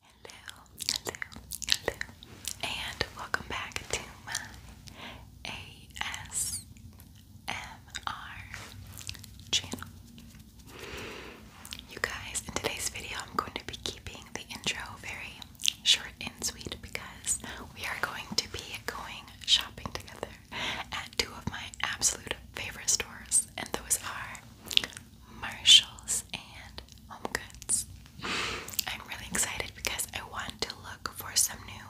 Hello, hello, hello, and welcome back to my ASMR channel. You guys, in today's video, I'm going to be keeping the intro very short and sweet because we are going to be going shopping together at two of my absolute favorite stores, and those are Marshalls and Home Goods. I'm really excited because I want to look for some new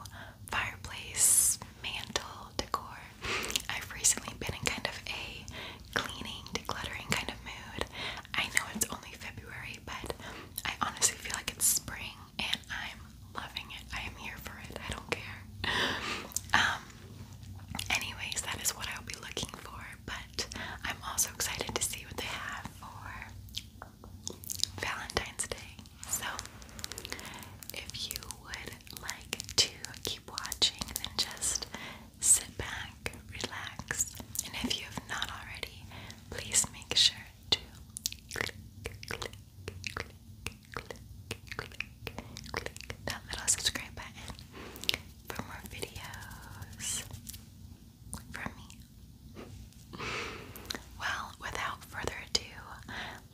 fireplace mantle decor. I've recently been in kind of a cleaning, decluttering kind of mood. I know it's only February, but I honestly feel like it's spring and I'm loving it. I am here for it. I don't care. Um, anyways, that is what I'll be looking for, but I'm also excited to see what they have for Valentine's Day. So, if you would like to keep watching, then just sit back, relax, and if you have not already, please make sure that little subscribe button for more videos from me. Well, without further ado,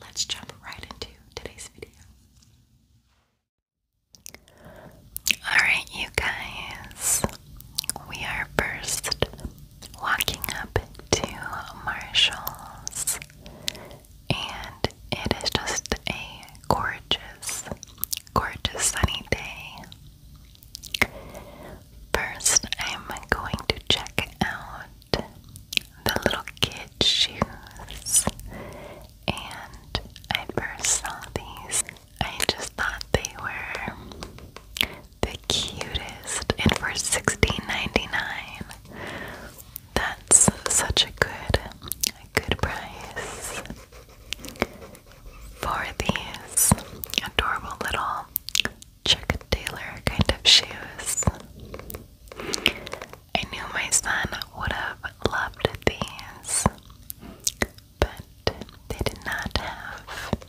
let's jump right into today's video. Alright, you guys, we are first walking up to Marshall's, and it is just a gorgeous, gorgeous sunny day. First, I'm going to check out the little kid shoes, and I first saw these. I just thought they were the cutest and for $16.99. That's such a good good price for these adorable little Chuck Taylor kind of shoes. I knew my son would have loved these, but they did not have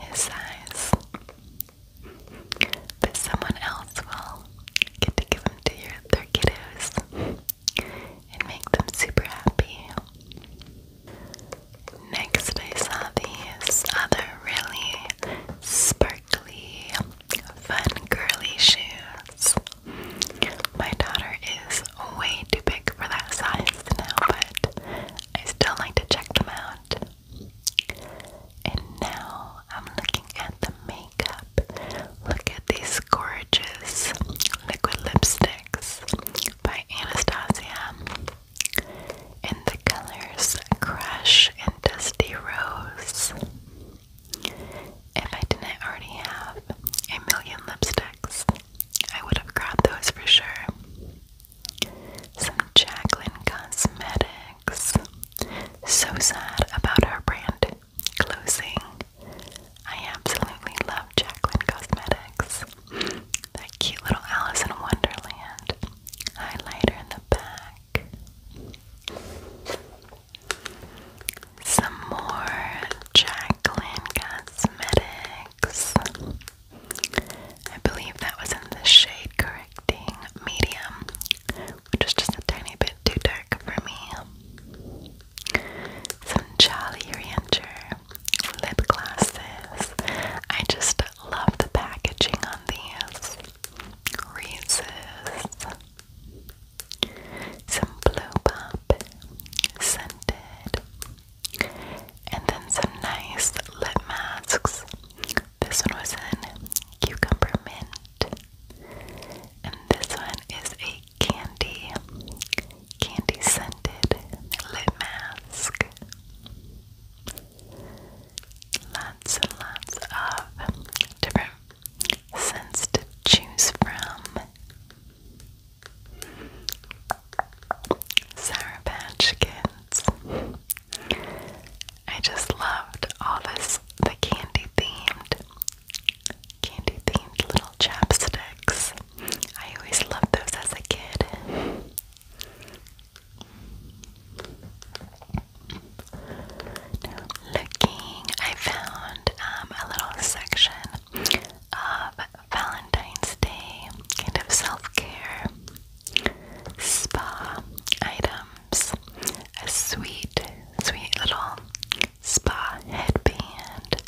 his size. That someone else will get to give them to their kiddos and make them super happy. Next, I saw these other really sparkly, fun, girly shoes. My daughter is way too big for that size now, but I still like to check them out. And now I'm looking at the makeup. Look at these gorgeous liquid lipsticks by Anastasia. And the colors Crush and Dusty Rose. If I didn't already have a million lipsticks, I would have grabbed those for sure. Some Jacqueline Cosmetics. So sad about her brand closing. I absolutely love Jacqueline Cosmetics. That cute little Alice in Wonderland highlighter in the back. Some more Jacqueline Cosmetics. I believe that was in the shade Corinne medium, which is just a tiny bit too dark for me. Some Jolly Rancher lip glosses. I just love the packaging on these. Reese's. Some Blue Pop scented. And then some nice lip masks this one was in cucumber mint. And this one is a candy, candy scented lip mask. Lots and lots of different scents to choose from. Sour Patch I just loved all this the candy themed candy themed little chapsticks. I always loved those as a kid. looking, I found um, a little section of Valentine's Day kind of self care spa items, a sweet, sweet little spa headband,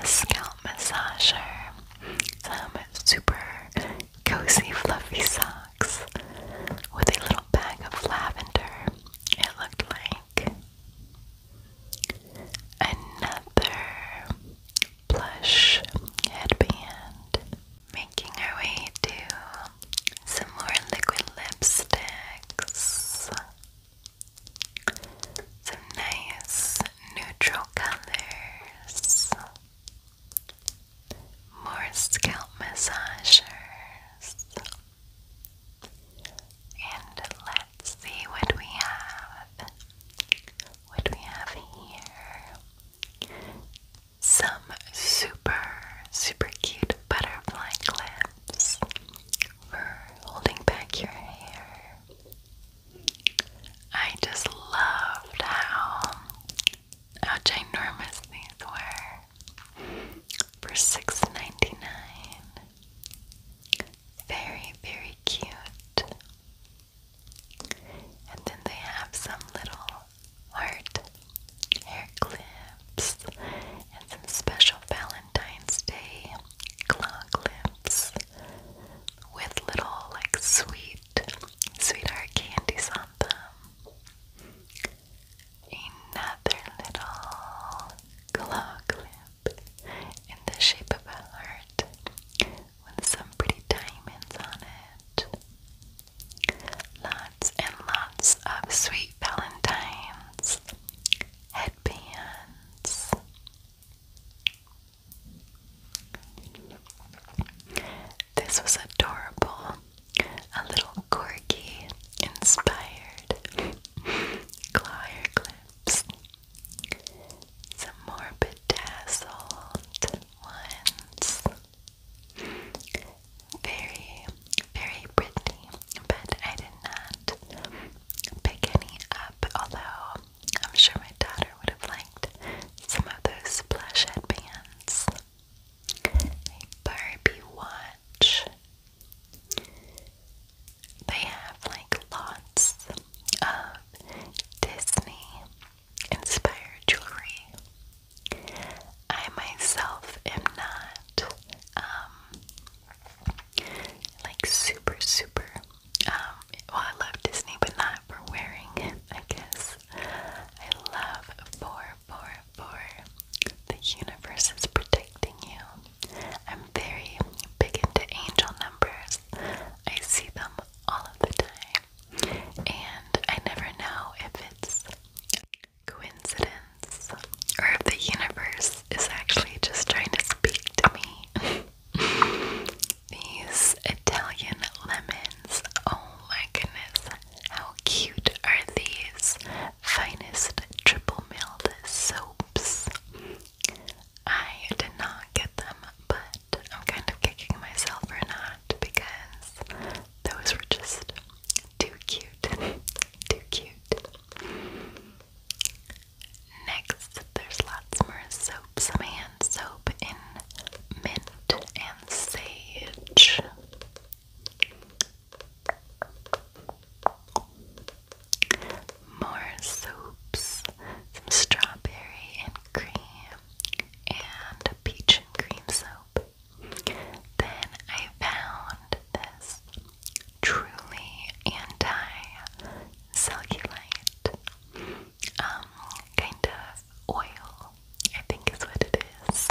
a scalp massager, some super cozy fluffy socks with a little bag of lavender. It looked like another plush headband. Making our way to some more liquid lipsticks. Some nice neutral colors. More scalp massagers. And let's see what we have. What we have here some super, super cute butterfly clips for holding back your hair. I just loved how, how ginormous these were for 6 Very, very cute. And then they have some little heart hair clips and some special Valentine's Day claw clips with little like sweet sweetheart candies on them. Another little claw clip in the shape of a heart with some pretty diamonds on it. Lots and lots of sweet valentines, headbands. This was adorable, a little corgi inspired claw clips. Some more bedazzled ones. Very, very pretty, but I did not pick any up, although I'm sure my daughter would have liked some of those plush headbands. Barbie watch. They have like lots of Disney inspired jewelry. I myself am not um, like super super um, well I love Disney but not for wearing I guess. I love for for for the universe is protecting you. I'm very big into angel numbers. I see them all of the time. And I never know if it's coincidence or if the universe is actually just trying to speak to me. These Italian lemons. Oh my goodness. How cute are these finest triple milled soaps? I did not get them, but I'm kind of kicking myself for not because those were just too cute. too cute. Next, there's lots more soaps. some hand soap in mint and sage. More soaps, some strawberry and cream, and peach and green soap. Then I found this truly anti-cellulite um, kind of oil, I think is what it is.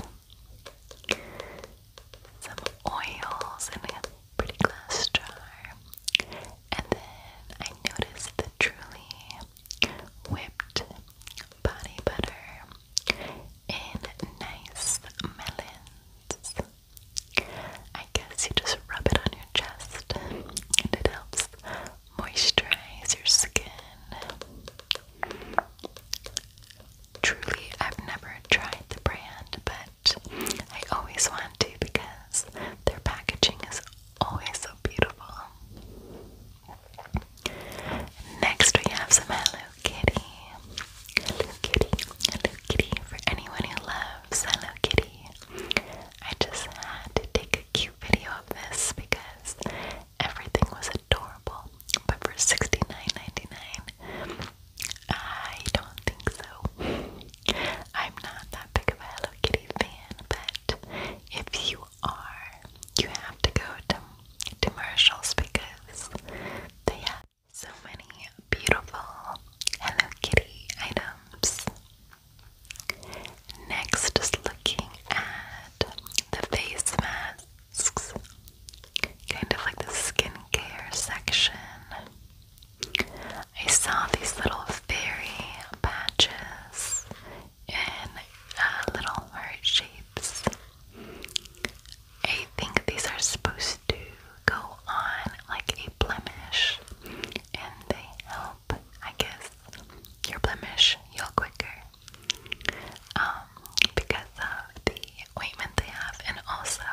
Some oils in a pretty glass jar. And then I noticed the truly whipped body butter, and nice melons. I guess you just rub it on your chest and it helps moisturize your skin. Truly, I've never tried the brand, but I always want to because their packaging is always so beautiful. Next, we have some Hello Kitty. Hello Kitty, Hello Kitty. For anyone who loves Hello Kitty, I just had to take a cute video of this because everything was adorable. But for 69 I don't think so. I'm not that big of a Hello Kitty fan, but if you are you have to go to, to Marshall's because they have so many beautiful Hello Kitty items. Next is looking at the face masks, kind of like the skincare section. I saw these little fairy patches in uh, little heart shapes. I think these are supposed to go on like a blemish and they help, I guess, your blemish heal quicker um, because of the ointment they have and also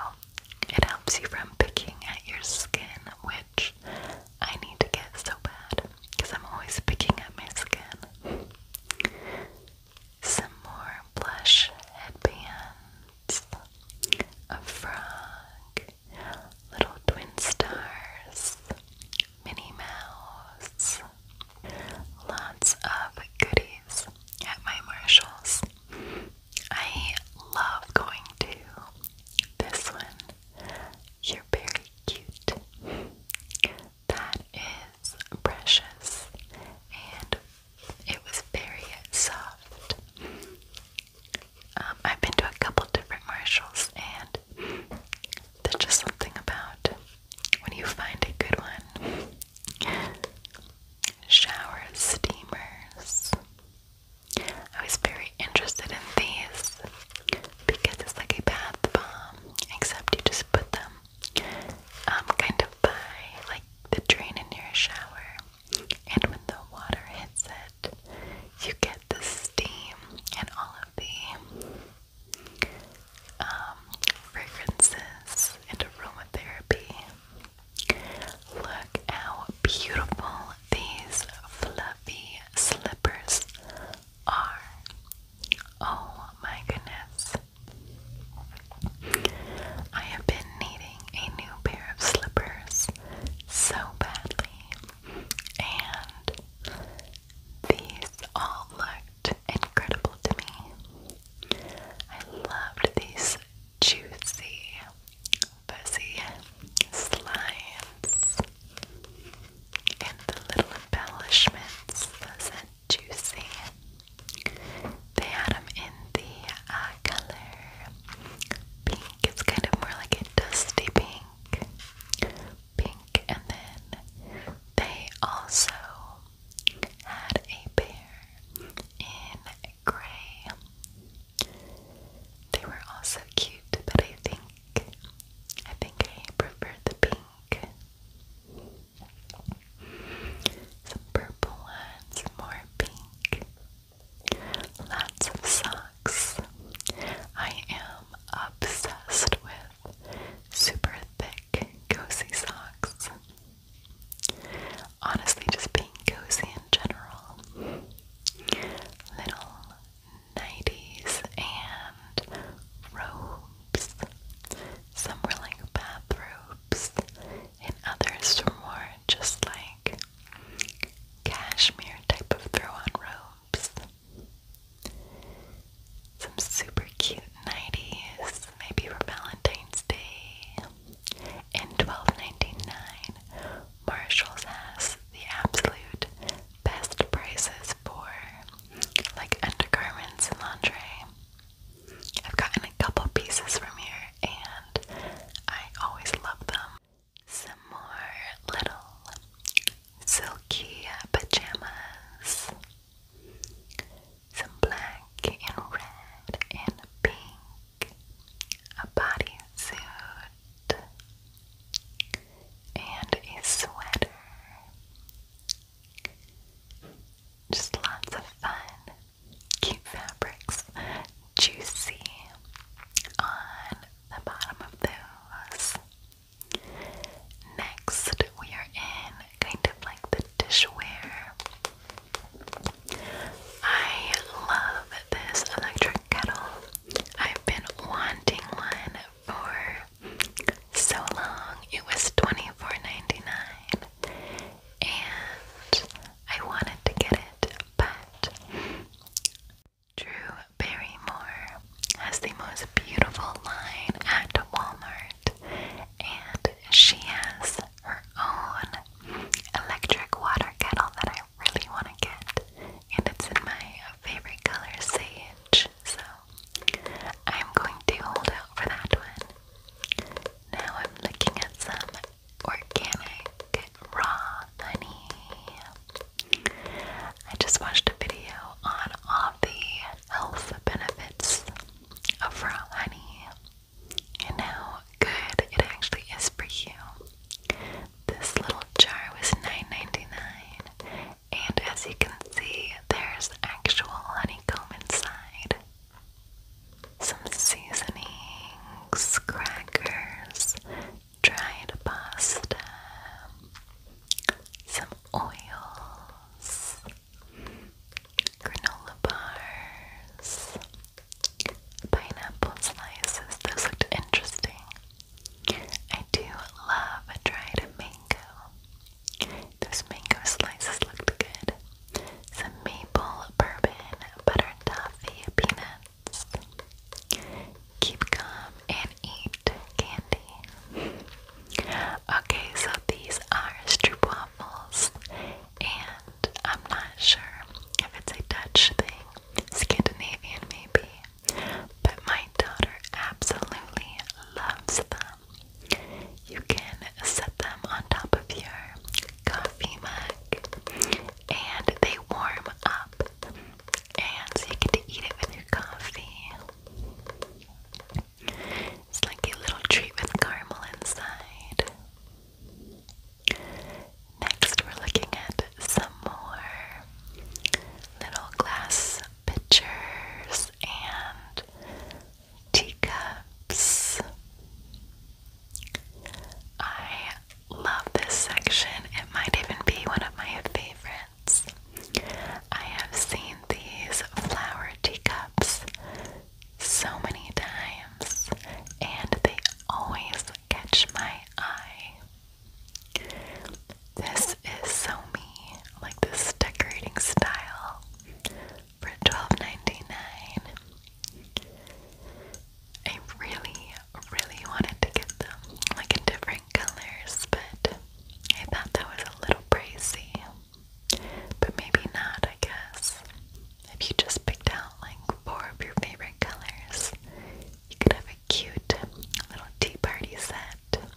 it helps you from picking at your skin, which I need to get so bad because I'm always picking at my skin. Some more blush headbands, a frog, little twin stars, Minnie Mouse, lots of goodies at my Marshalls. I love going to this one. You're very cute that is precious and it was very soft. Um, I've been to a couple different Marshalls and there's just something about when you find a good one. Shower steamers. I was very interested in these because it's like a bath bomb, except you just put them um, kind of by like the drain in your shower, and when the water hits it, you get the steam and all of the um, fragrances and aromatherapy. Look how beautiful these fluffy slippers are. Oh my goodness. I have been needing a new pair of slippers so badly, and these all looked incredible to me. I loved these juicy, fuzzy slimes and the little embellishments wasn't juicy. They had them in the uh, color pink. It's kind of more like a dusty pink. Pink, and then they also had a pair in gray. They were also cute, but I think I think I prefer the pink pink, some purple ones, more pink, lots of socks. I am obsessed with super thick, cozy socks. Honestly, just being cozy in general. Little 90s and robes. Some were like bathrobes, and others were more just like cashmere type of throw on robes. Some super cute 90s, maybe for Valentine's Day. In 1299, Marshalls has the absolute best prices for like undergarments and lingerie. I've gotten a couple pieces from here and I always love them. Some more little silky pajamas. Some black and red and pink. A bodysuit and a sweater. Just lots of fun, cute fabrics, juicy on the bottom of those. Next, we are in kind of like the dishware. I love this electric kettle. I've been wanting one for so long. It was $24.99 and I wanted to get it, but Drew Barrymore has the most beautiful line at Walmart and she has her own electric water kettle that I really want to get and it's in my favorite color, sage. So I'm going to hold out for that one. Now I'm looking at some organic raw honey. I just watched a video on all the health benefits of raw honey and how good it actually is for you. This little jar was $9.99 and as you can see, there's actual honeycomb inside. Some seasonings, crackers, dried pasta, some oils, granola bars, pineapple slices. Those looked interesting. I do love a dried mango. Those mango slices looked good. Some maple bourbon, butter toffee, peanuts. Keep calm and eat candy. Okay, so these are stroop and I'm not sure if it's a Dutch thing, Scandinavian maybe but my daughter absolutely loves them. You can set them on top of your coffee mug and they warm up, and so you get to eat it with your coffee. It's like a little treat with caramel inside. Next, we're looking at some more little glass pitchers and teacups. I love this section. It might even be one of my favorites. I have seen these flower teacups so many times, and they always catch my eye. This is so me, like this decorating style for twelve ninety nine. I really, really wanted to get them like in different colors, but I thought that was a little pricey. But maybe not, I guess. If you just picked out like four of your favorite colors, you could have a cute little tea party set.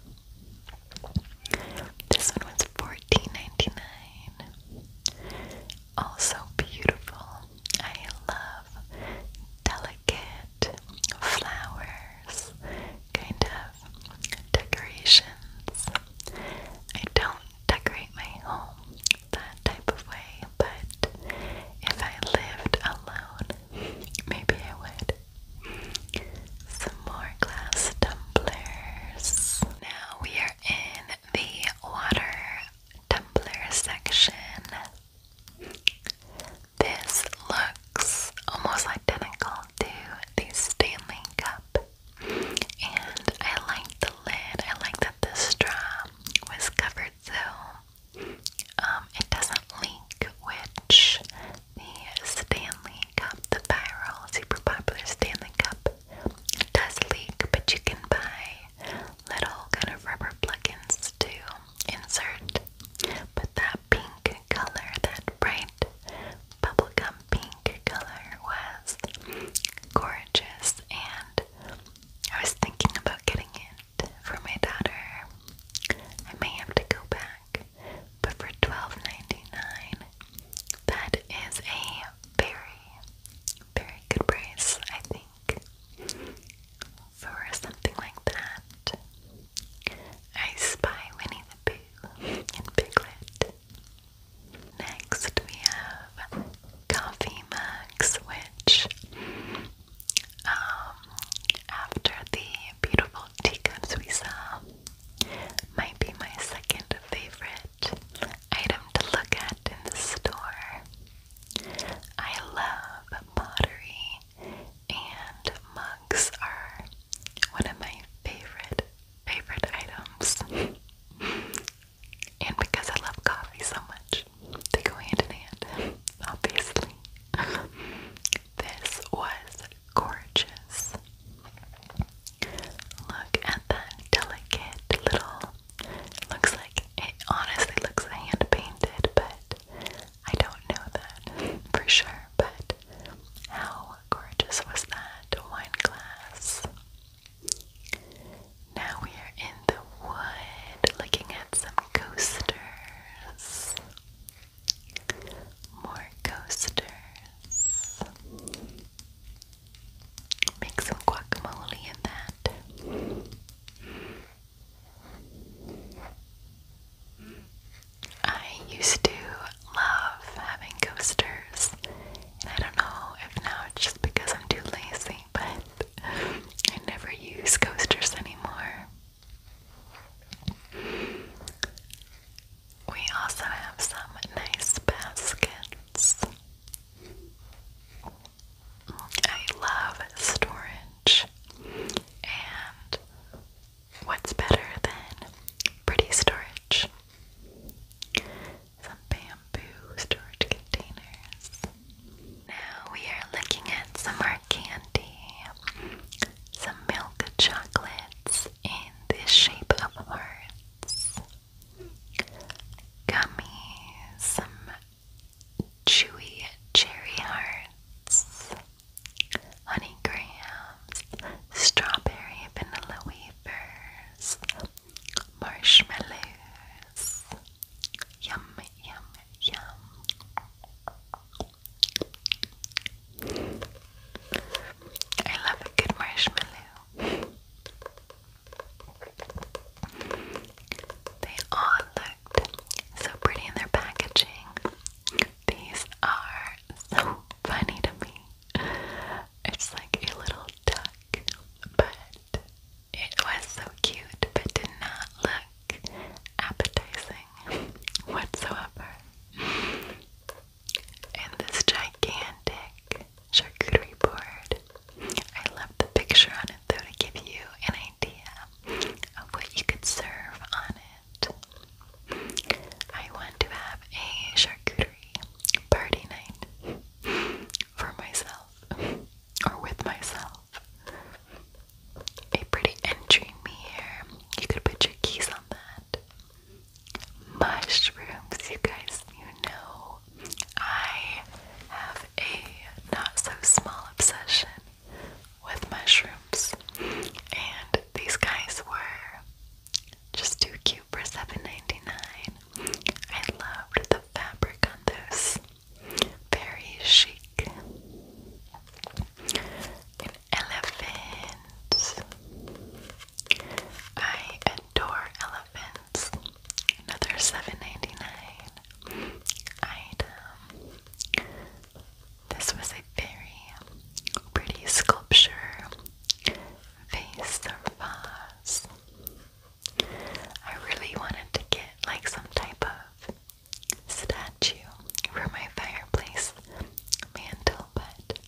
This one was $14.99. Also beautiful. I love delicate flowers, kind of decorations. I don't decorate my home that type of way, but if I lived alone, maybe I would. Some more glass tumblers. Now we are in the water tumbler section. This looks almost identical to the Stanley Cup. And I like the lid. I like that the straw was covered so um, it doesn't leak, which the Stanley Cup, the viral, super popular Stanley Cup, does leak, but you can buy little kind of rubber plugins to insert. But that pink color, that bright bubblegum pink color, was gorgeous, and I was thinking about getting it for my daughter. I may have to go back but for 12 is a very, very good price, I think, for something like that. I spy Winnie the Pooh and Piglet. Next, we have coffee mugs, which, um, after the beautiful teacups we saw might be my second favorite item to look at in the store. I love pottery, and mugs are one of my favorite, favorite items. and because I love coffee so much, they go hand in hand, obviously. This was gorgeous. Look at that delicate little. Looks like it honestly looks hand painted, but I don't know that for sure. But how gorgeous was that wine glass? Now we are in the wood looking at some coasters. More coasters. Make some guacamole in that. I used to love having coasters, I don't know if now just because I'm too lazy, but I never use coasters anymore. We also have some nice baskets. I love storage, and what's better than pretty storage? Some bamboo storage containers. Now we are looking at some more candy, some milk chocolates in the shape of hearts, gummies, some chewy cherry hearts, honey grams, strawberry vanilla wafers, marshmallows. Yum, yum, yum. I love a good marshmallow. They all looked so pretty in their packaging. These are so funny to me. It's like a little duck, but it was so cute, but did not look appetizing whatsoever. And this gigantic charcuterie board. I love the picture on it though to give you an idea of what you could serve on it. I want to have a charcuterie party night for myself or with myself a pretty entry mirror. You could put your keys on that. Mushrooms, you guys, you know, I have a not so small obsession with mushrooms, and these guys were just too cute for $7.99. I loved the fabric on those, very chic. Elephants. I adore elephants. Another seven ninety nine item. This was a very pretty sculpture vase or vase. I really wanted to get like some type of statue for my fireplace mantle, but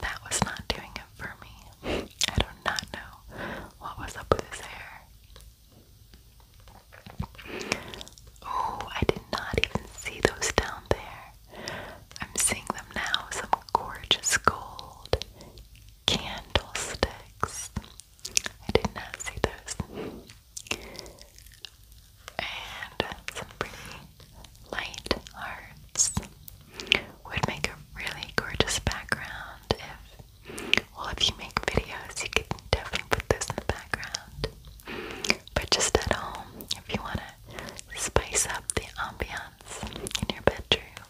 that was not doing it for me. I do not know what was up with his hair. Oh, I did not even see those down there. I'm seeing them now. Some gorgeous gold candlesticks. I did not see those and some pretty light hearts would make a really gorgeous background if well if you make videos you could definitely put this in the background but just at home if you want to spice up the ambiance in your bedroom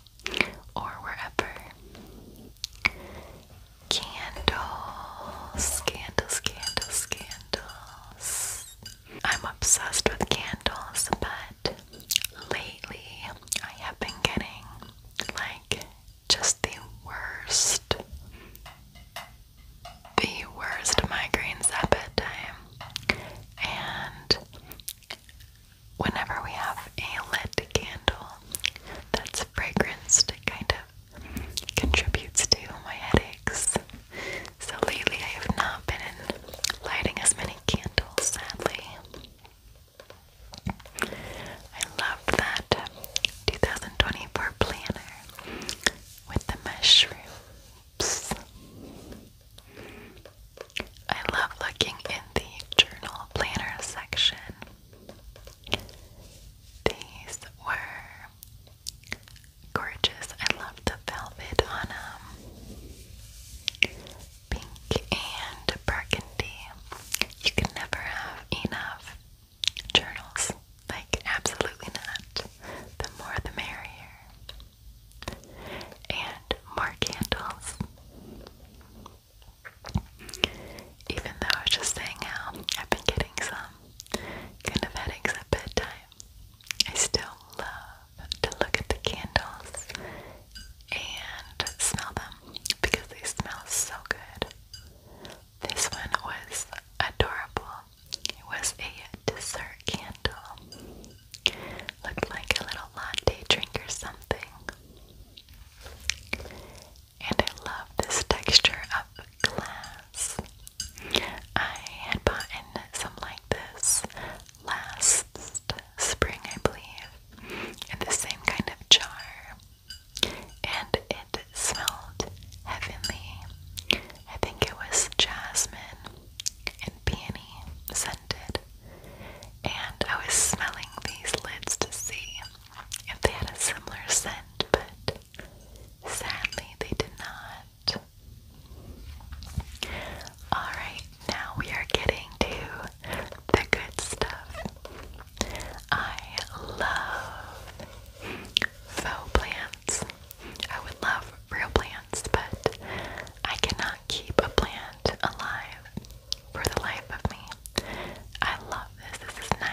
or wherever Candles, candles, candles, candles. I'm obsessed with candles, but lately I have been getting like just the worst, the worst migraines at And whenever we have a lit candle that's fragranced, kind of contributes to my headaches. So lately I have not been lighting as many candles, sadly. I love that 2024 planner with the mushrooms. I love looking in the journal planner section. These were Gorgeous. I love the velvet on um pink and burgundy. You can never have enough journals. Like absolutely not. The more the merrier. And more candles. Even though I was just saying how I've been getting some kind of headaches at bedtime. I still love to look at the candles and smell them because they smell so good. This one was adorable. It was a dessert candle. Looked like a little latte drink or something and I love this texture of glass. I had bought in some like this last spring, I believe, in the same kind of jar, and it smelled heavenly. I think it was jasmine and peony scented, and I was smelling these lids to see if they had a similar scent, but Sadly, they did not. Alright, now we are getting to the good stuff. I love faux plants. I would love real plants, but I cannot keep a plant alive for the life of me. I love this. This is 9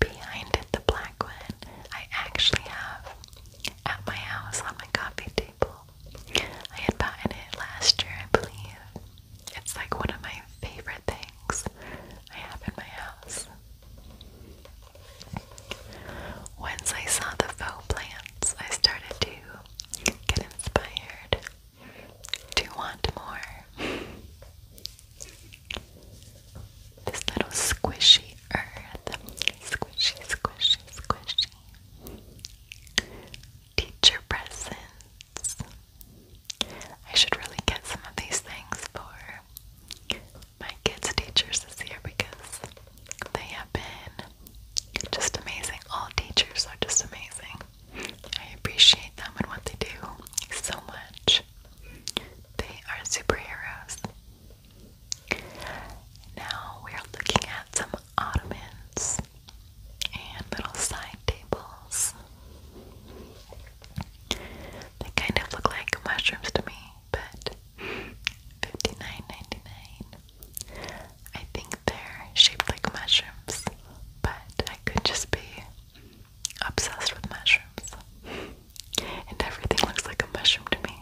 behind the black one, I actually have at my house on my coffee table. I had bought it last year, I believe. It's like one of my favorite things I have in my house. Once I saw the faux plants, I started to get inspired to want more. This little squishy earth. Squishy, squishy, squishy. Teacher presents. I should really get some of these things for my kids' teachers this year because they have been just amazing. All teachers are just amazing. I appreciate them and what they do so much. They are superheroes. Now we are looking at some ottomans and little side tables. They kind of look like mushrooms to me, but 59 I think they're shaped like mushrooms, but I could just be obsessed with mushrooms. and everything looks like a mushroom to me.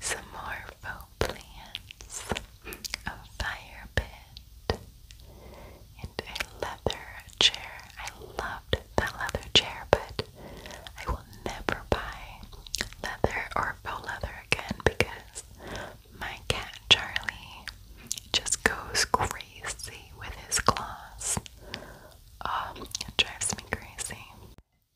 Some more faux plants, a fire pit, and a leather chair. I loved that leather chair, but I will never buy leather or faux leather again because my cat Charlie just goes crazy with his claws. Um, it drives me crazy.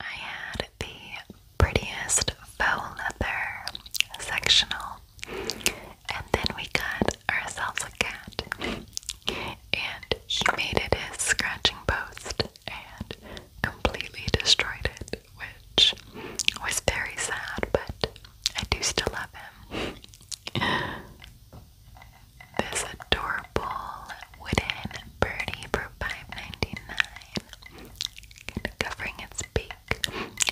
I had the prettiest faux leather sectional, and then we got ourselves a cat, and he made it his scratching post and completely destroyed it, which was very sad, but I do still love him. This adorable wooden birdie for five ninety nine, covering its beak.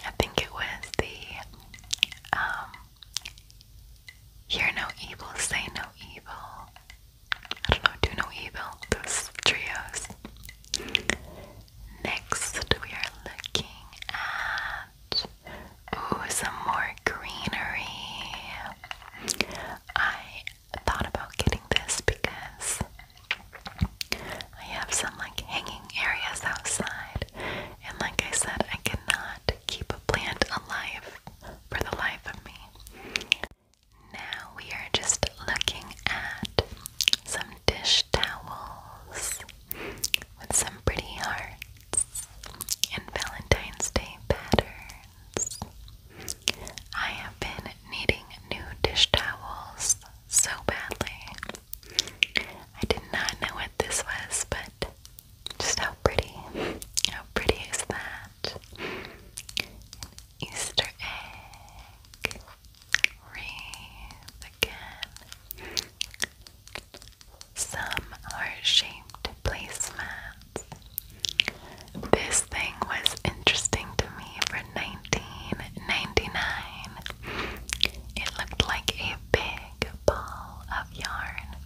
I think it was the um Hear No Evil, Say No Evil. I don't know, do no evil, those trios. Next we are looking at Ooh, some more greenery. I thought about getting this because I have some like hanging areas outside, and like I said, I cannot keep a plant alive for the life of me. Now we are just looking at some dish towels with some pretty hearts and Valentine's Day patterns. I have been needing new dish towels so badly. I did not know what this was, but just how pretty. How pretty is that? Easter egg. Wreath again. Some are shaped placemats. This thing was interesting to me for 1999. It looked like a big ball of yarn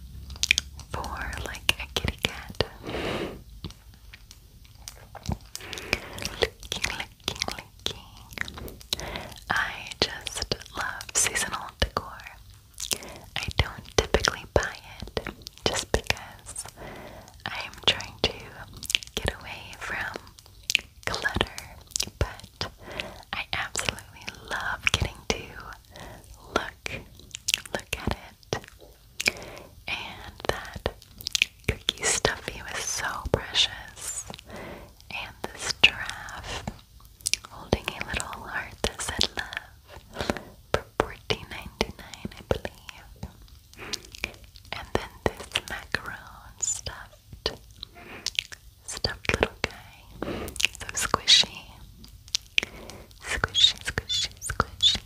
for like a kitty cat. I just love seasonal decor. I don't typically buy it just because I'm trying to get away from clutter, but I absolutely love getting to look, look at it. And that cookie stuffy was so precious. And this giraffe holding a little heart that said love for 14 I believe. And then this macaron stuffed, stuffed little guy. So squishy. Squishy, squishy, squishy.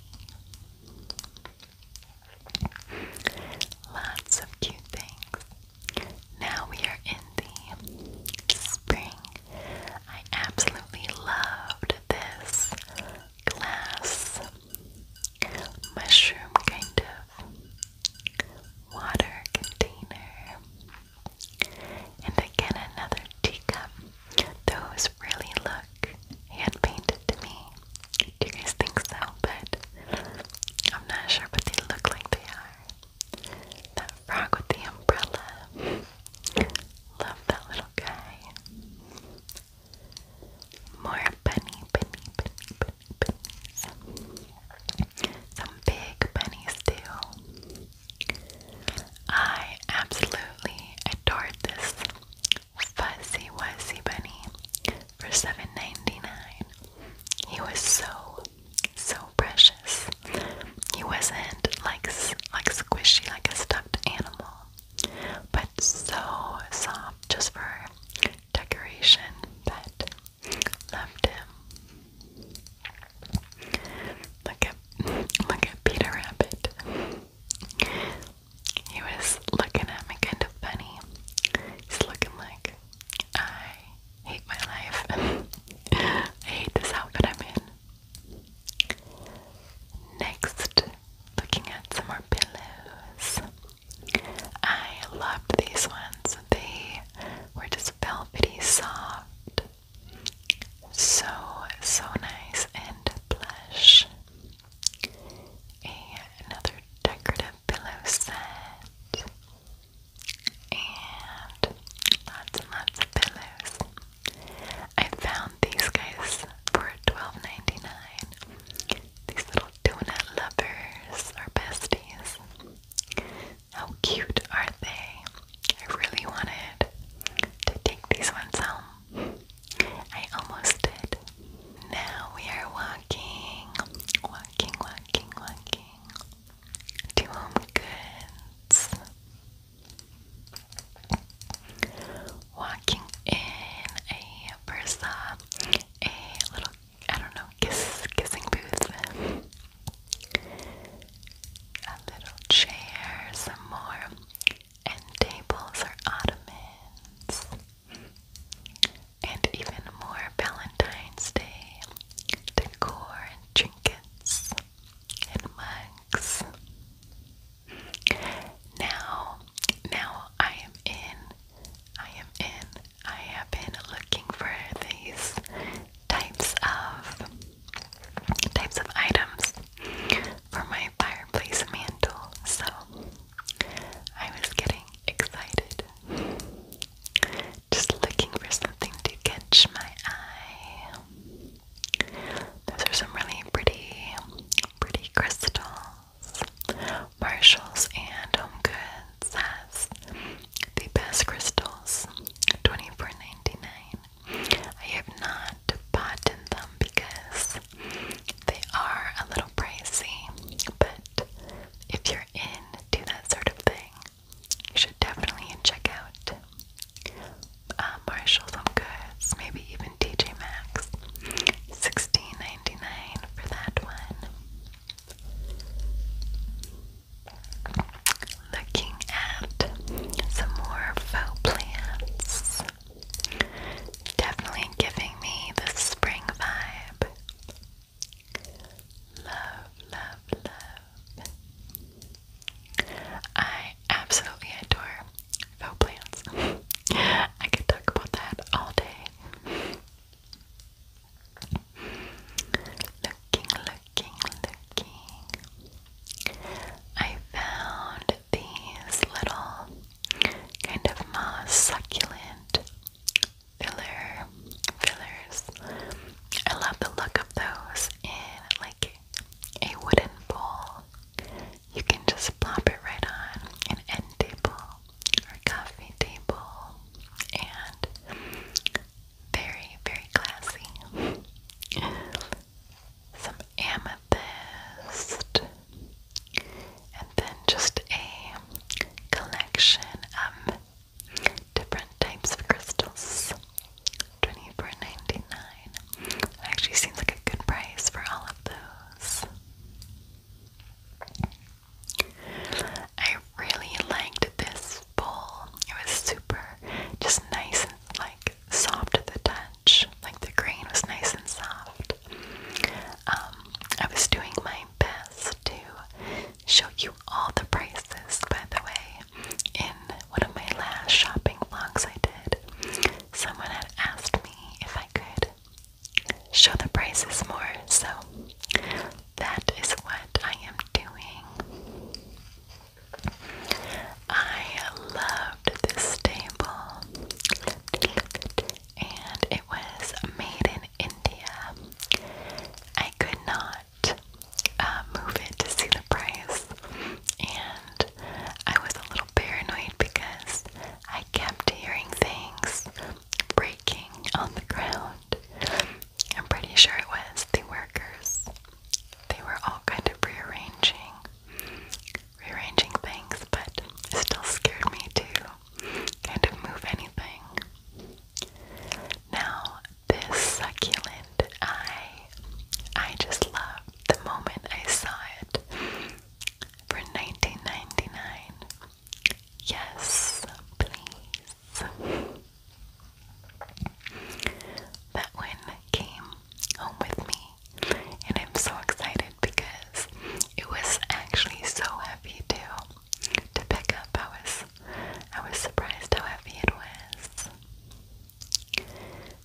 Lots of cute things. Now we are in the spring I absolutely loved this glass mushroom kind of water container. And again, another teacup. Those really look hand painted to me. Do you guys think so? But I'm not sure, but they look like they are. That frog with the umbrella. Love that little guy. More bunny, bunny, bunnies. Some big bunnies too. I absolutely adored this fuzzy wuzzy bunny for $7.99. He was so so precious. He wasn't like like squishy like a stuffed animal, but so soft just for decoration. But loved him. Look at look at Peter Rabbit. He was looking at me kind of funny. He's looking like I hate my life. I hate this outfit I'm in. Next, looking at some more pillows. I loved these ones. They were just velvety soft. So, so nice and plush. another decorative pillow set and lots and lots of pillows. I found these guys for 12 These little donut lovers are besties. How cute are they? I really wanted to take these ones home. I almost did. Now we are walking, walking, walking, walking to home goods. Walking in a Versa, a little, I don't know, kiss, kissing booth. A little chair, some more, and tables or ottomans. And even more Valentine's Day decor and trinkets and mugs. Now, now I am in, I am in, I have been looking for these types of types of items for my fireplace mantle. So I was getting excited. Just looking for something to catch my eye. Those are some really pretty, pretty crystals. Marshalls and Home has the best crystals, 24 I have not bought in them because they are a little pricey, but if you're into that sort of thing, you should definitely check out uh, Marshall's on Goods, maybe even TJ Maxx. Sixteen ninety nine for that one. Looking at some more faux plants. Definitely giving me the spring vibe. Love, love, love. I absolutely adore faux plants. I could talk about that all day. Looking, looking, looking. I found these little kind of moss succulent filler fillers I love the look of those in like a wooden bowl. You can just plop it right on an end table or coffee table, and very, very classy. Some amethyst, and then just a collection of different types of crystals. 24 Actually seems like a good price for all of those. I really liked this bowl. It was super just nice and like soft at the touch. Like the grain was nice and soft. Um, I was doing my best to show you all the prices, by the way in one of my last shopping vlogs I did, someone had asked me if I could show the prices more, so that is what I am doing. I loved this stable, and it was made in India. I could not uh, move it to see the price. And I was a little paranoid because I kept hearing things breaking on the ground. I'm pretty sure it was the workers. They were all kind of rearranging, rearranging things, but it still scared me to kind of move anything. Now, this succulent. I I just love the moment I saw it for 19.99. Yes, please. That one came home with me, and I'm so excited because it was actually so heavy too to pick up. I was surprised how heavy it was.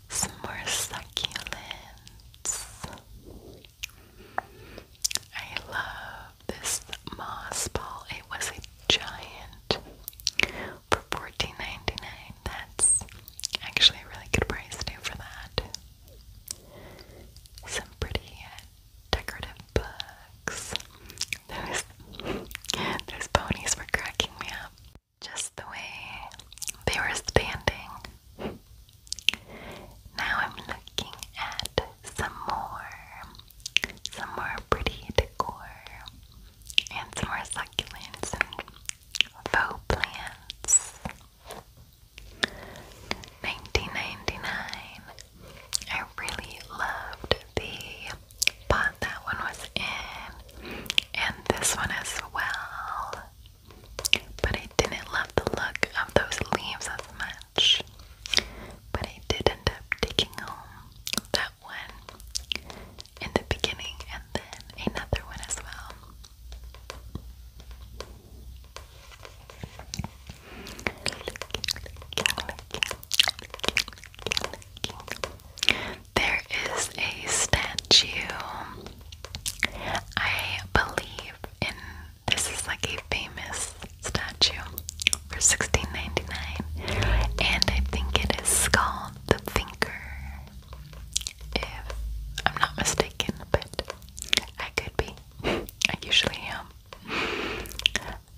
Some more succulents. I love this moss ball. It was a giant for 14 That's actually a really good price too for that. Some pretty uh, decorative books. Those, those ponies were cracking me up. Just the way they were standing. Now I'm looking at some more, some more pretty decor, and some more succulents and faux plants. 1999. I really loved the but that one was in, and this one as well. But I didn't love the look of those leaves as much. But I did end up taking home that one in the beginning and then another one as well. There is a statue. I believe in this is like a famous statue for sixteen ninety nine, and I think it is called the Thinker. If I'm not mistaken, but I could be. I usually am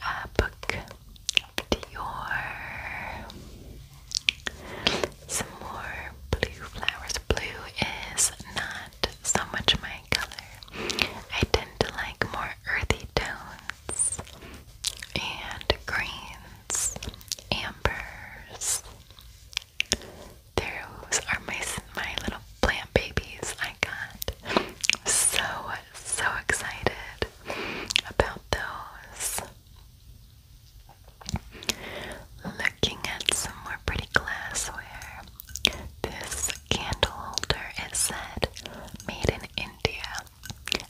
uh, book Dior. Some more blue flowers. Blue is not so much my color. I tend to like more earthy tones and greens, ambers. Those are my my little plant babies I got. So so excited about those. Looking at some more pretty glassware. This candle holder is said made in India.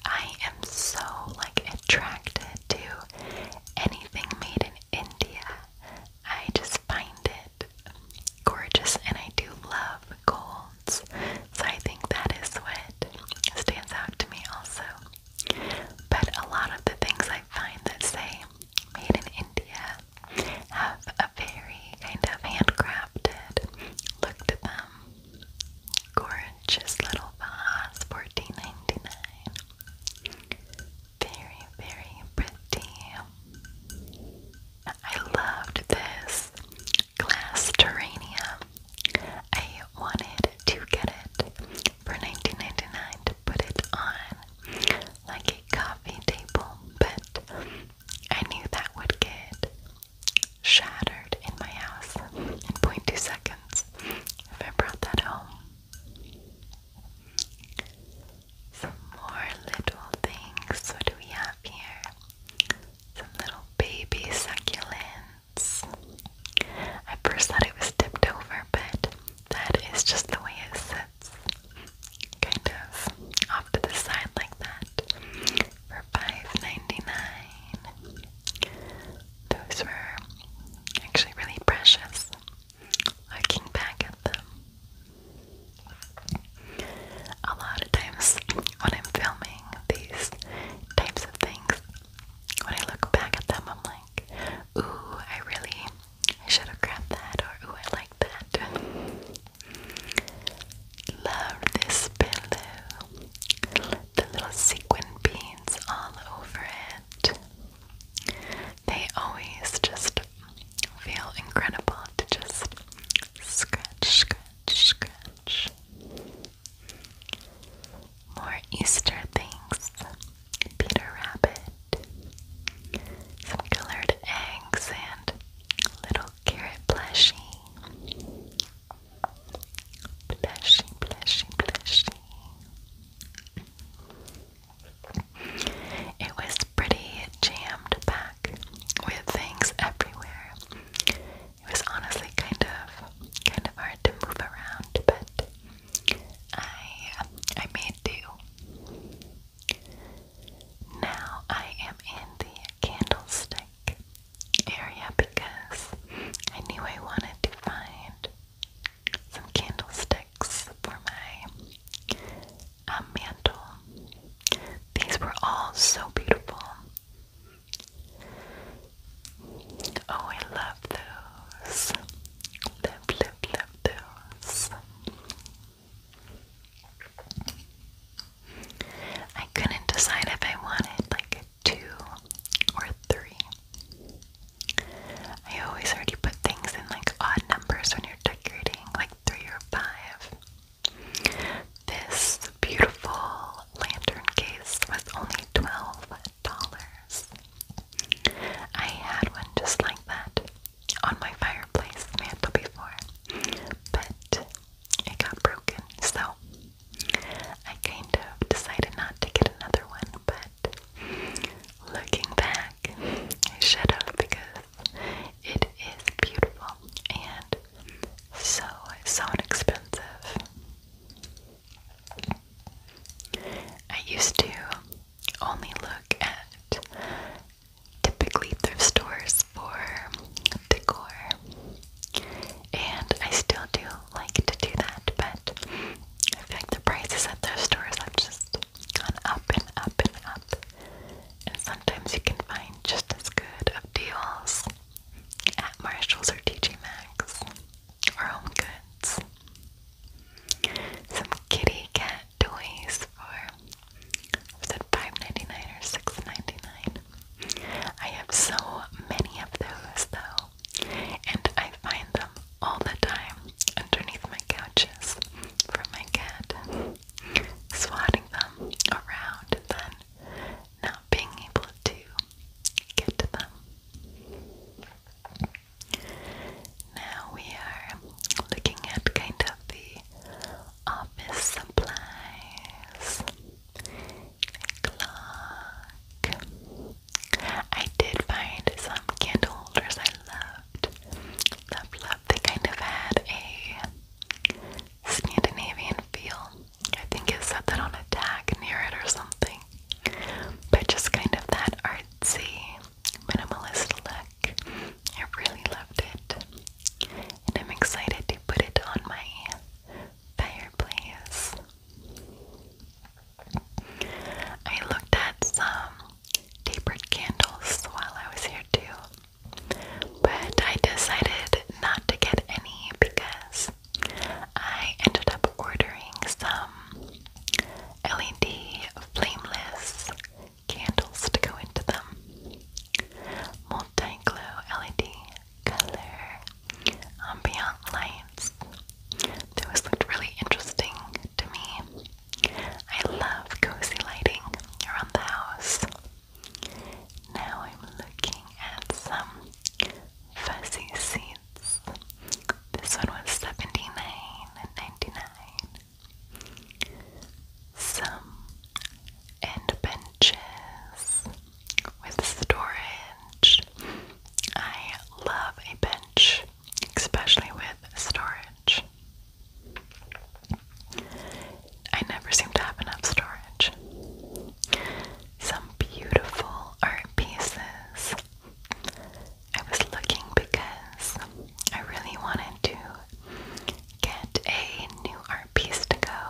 I am so like attracted to anything made in India. I just find it gorgeous and I do love colds. So I think that is what stands out to me also. But a lot of the things I find that say made in India have a very kind of handcrafted look to them. Gorgeous little vase, fourteen ninety nine. Very, very pretty. I loved this glass terrarium I wanted to get it for 19.99 to put it on like a coffee table, but I knew that would get shattered in my house in 0.2 seconds if I brought that home. Some more little things. What do we have here? Some little baby succulents. I first thought it was tipped over, but that is just the way it sits. Kind of off to the side like that. For 5 Those were actually really precious. Looking back at them. A lot of times when I'm filming these types of things, when I look back at them, I'm like, ooh, I really I should have grabbed that, or ooh, I like that. Love this pillow. The little sequin beads all over it. They always just feel incredible to just scratch, scratch, scratch. More Easter things. Peter Rabbit. Some colored eggs and little carrot plushie. Plushie, plushie, plushie. It was pretty jammed back with things everywhere. It was honestly kind of kind of hard to move around, but I I made do. Now I am in the candlestick area because I knew I wanted to find some candlesticks for my um, mantle. These were all so beautiful. Oh, I love those. Love, love, love those. I couldn't decide if I wanted like a two or three. I always already put things in like odd numbers when you're decorating, like three or five. This beautiful lantern case was only $12. I had one just like that on my fireplace mantle before, but it got broken, so I kind of decided not to get another one, but looking back, I should have because it is beautiful and so, it's so inexpensive. I used to only look at typically thrift stores for decor, and I still do like to do that, but I feel like the prices at thrift stores have just gone up and up and up, and sometimes you can find just as good of deals at Marshalls or TJ Maxx or Home Goods. Some kitty cat toys for was it $5.99 or $6.99? I have so many of those though, and I find them all the time underneath my couches for my cat, swatting them around and then not being able to get to them. Now we are looking at kind of the office supplies. Clock. I did find some candle holders I loved. Love, love. They kind of had a Scandinavian feel. I think it's set that on a tag near it or something. But just kind of that artsy, minimalist look. I really loved it. And I'm excited to put it on my fireplace. I looked at some tapered candles while I was here too but I decided not to get any because I ended up ordering some LED flameless candles to go into them. Multi glow LED color ambient lights. Those looked really interesting to me. I love cozy lighting around the house. Now I'm looking at some fuzzy seeds. This one was $79.99. Some end benches with storage. I love a bench, especially with storage. I never seem to have enough storage. Some beautiful art pieces. I was looking because I really wanted to get a new art piece to go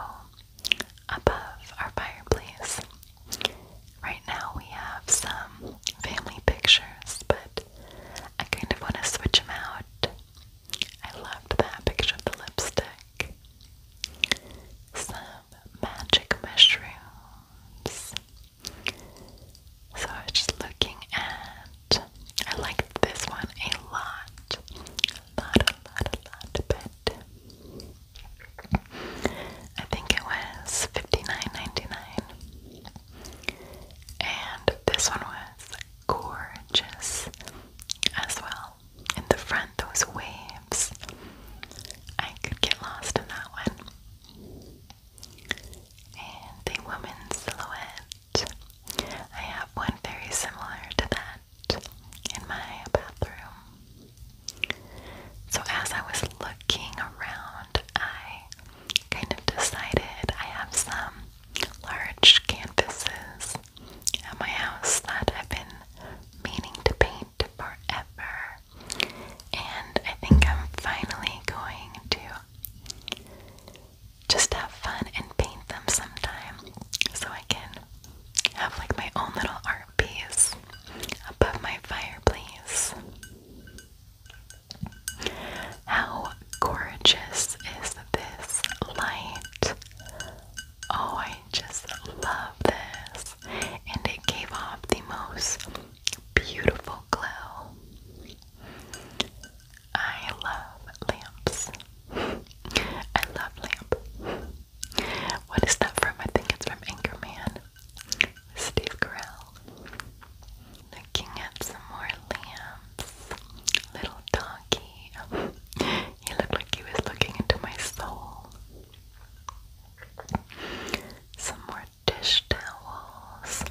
above our fireplace. Right now we have some family pictures, but I kind of want to switch them out. I loved that picture of the lipstick some magic mushrooms. So I was just looking at, I liked this one a lot, a lot, a lot, a lot, I think it was 59 and this one was gorgeous as well in the front, those waves. I could get lost in that one. And a woman's silhouette. I have one very similar to that in my bathroom. So, as I was looking around, I kind of decided I have some large canvases at my house that I've been meaning to paint forever. And I think I'm finally going to just have fun and paint them sometime so I can have like my own little art piece above my fireplace. How gorgeous is this light? Oh, I just love this. And it gave off the most beautiful glow. I love lamps. I love lamp. What is that from? I think it's from Anchorman. Steve Carell. Looking at some more lamps. Little doggy. He looked like he was looking into my soul. Some more dish towels.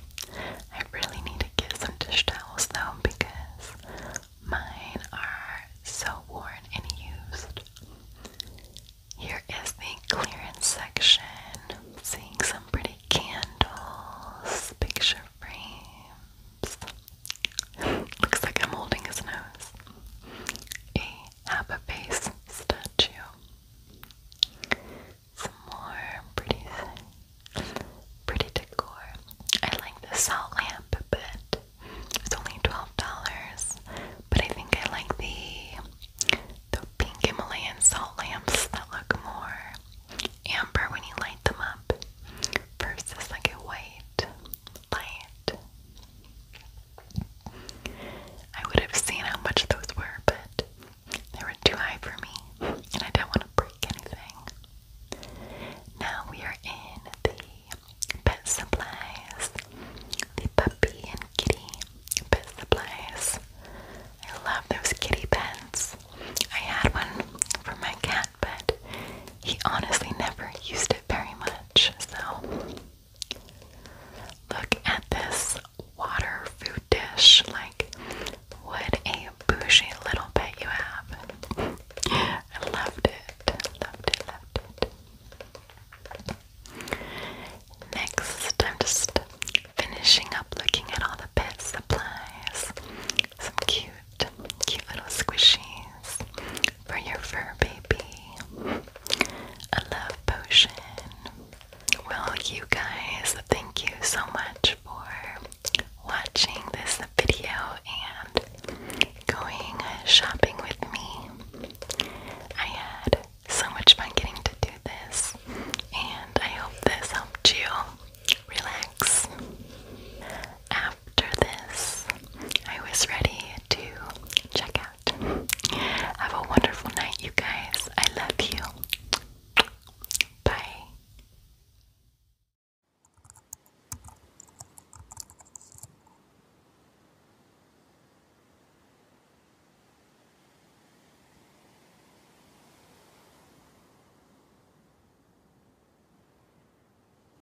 I really need to get some dish towels though because mine are so worn and used. Here is the clearance section. Seeing some pretty candles, picture frames. Looks like I'm holding his nose. A Abba face statue. Some more pretty, pretty decor. I like the salt lamp, but it's only twelve dollars. But I think I like the the pink Himalayan salt lamps that look more amber when you light them up versus like a white light. I would have seen how much those were, but they were too high for me, and I didn't want to break anything. Now we are in the pet supplies, the puppy and kitty pet supplies. I love those kitty pens. I had one for my cat, but he honestly never used it very much. So, look at this water food dish. Like, what a bushy little bit you have. I loved it. Loved it, loved it. Next, I'm just finishing up looking at all the pet supplies. Some cute cute, little squishies for your fur baby. A love potion. Well, you guys, thank you so much for watching this video and going shopping with me. I had so much fun getting to do this, and I hope this helped you relax after this, I was ready to check out. Have a wonderful night, you guys. I love you. Bye.